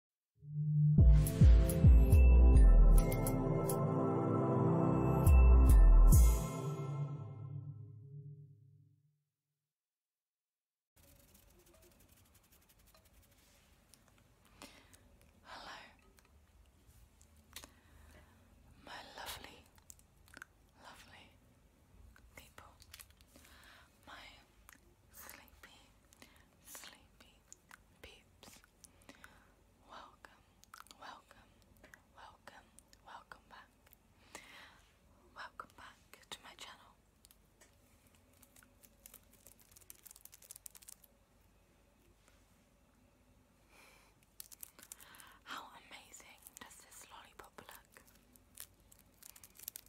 Hello, my lovely, lovely people, my sleepy, sleepy peeps. Welcome, welcome, welcome, welcome back. Welcome back to my channel. How amazing does this lollipop look?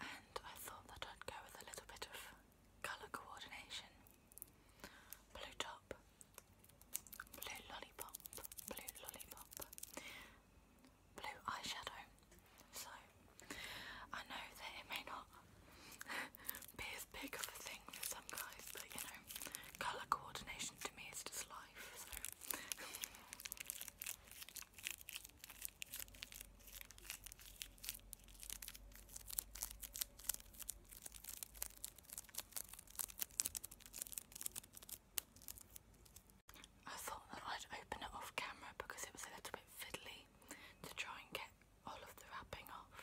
and I thought that I'd go with a little bit of colour coordination. Blue top, blue lollipop, blue lollipop, blue eyeshadow. So I know that it may not be as big of a thing for some guys, but you know, colour coordination to me is just life. I thought that I'd open it off camera because it was a little bit fiddly to try and get all of the wrapping off.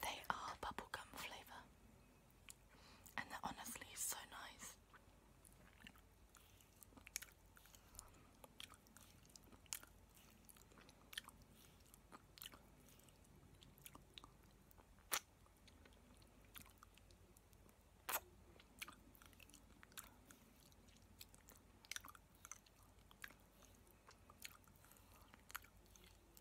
They are bubblegum flavour and they're honestly so nice.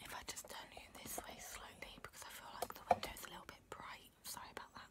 If I just turn you this way slowly because I feel like the window's a little bit bright. Sorry about that.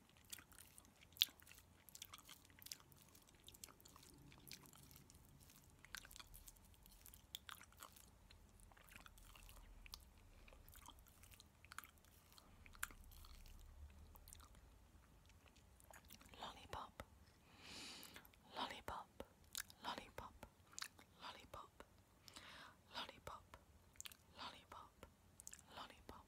Lollipop, lollipop, lollipop, lollipop, Lollipop, lollipop, lollipop.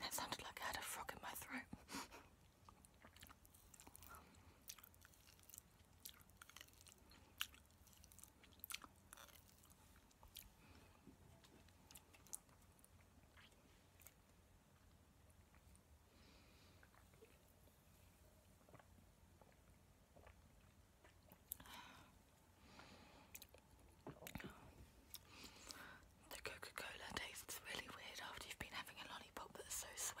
That sounded like I had a frog in my throat. The Coca Cola tastes really weird after you've been having a lollipop that's so sweet.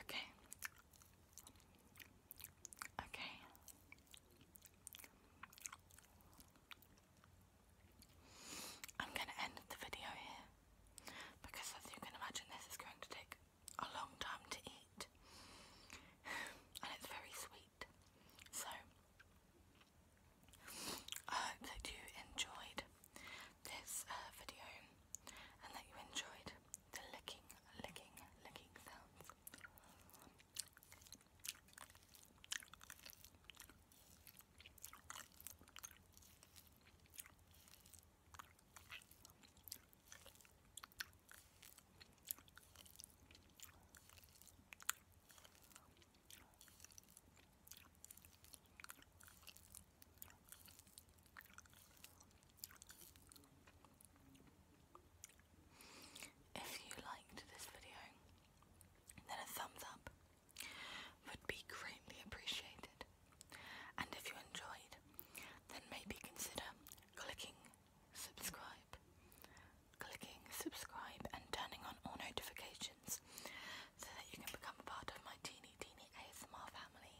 Okay. Okay. I'm going to end the video here because, as you can imagine, this is going to take a long time to eat and it's very sweet. So, I hope that you enjoyed this uh, video and that you enjoyed the licking, licking, licking sounds. If you liked this video, then a thumbs up would be greatly appreciated. And if you enjoyed, then maybe consider clicking subscribe clicking subscribe and turning on all notifications so that you can become a part of my teeny teeny ASMR family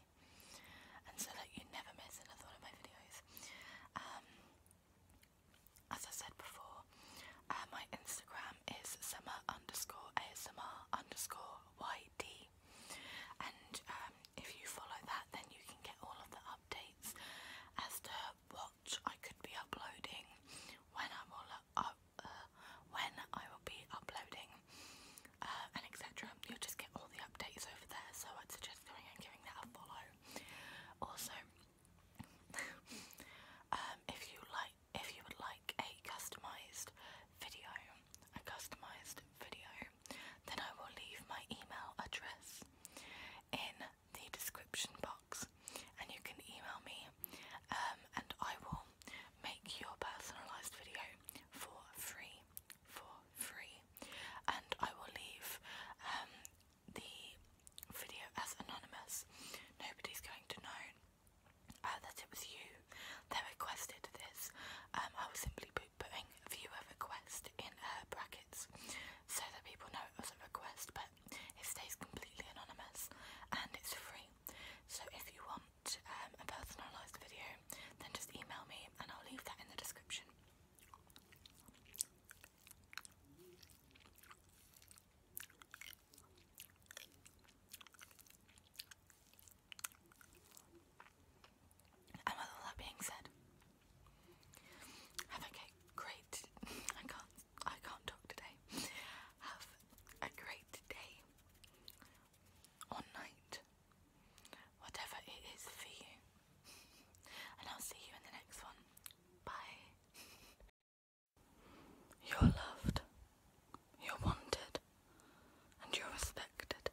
and so that you never miss another one of my videos. Um, as I said before, uh, my Instagram is summer underscore ASMR underscore YD and um, if you follow that then you can get all of the updates as to what I could be uploading, when I will uh, when I will be uploading, uh, and etc. You'll just get all the updates over there. So I'd suggest going and giving that a follow. Also, um, if you like, if you would like a customized video, a customized video, then I will leave my email address in the description box and you can email me um, and I will make your personalised video for free. For free. And I will leave um, the video as anonymous. Nobody's going to know uh, that it was you that requested this. Um, I will simply be putting a viewer request in uh, brackets so that people know it was a request, but it. stays completely anonymous and it's free. So if you want um, a personalised video, then just email me and I'll leave that in the description. And with all that being said, have a good great. I can't I can't talk today. Have a great day or night. Whatever it is for you. And I'll see you in the next one. Bye. You're loved. You're wanted. And you're respected.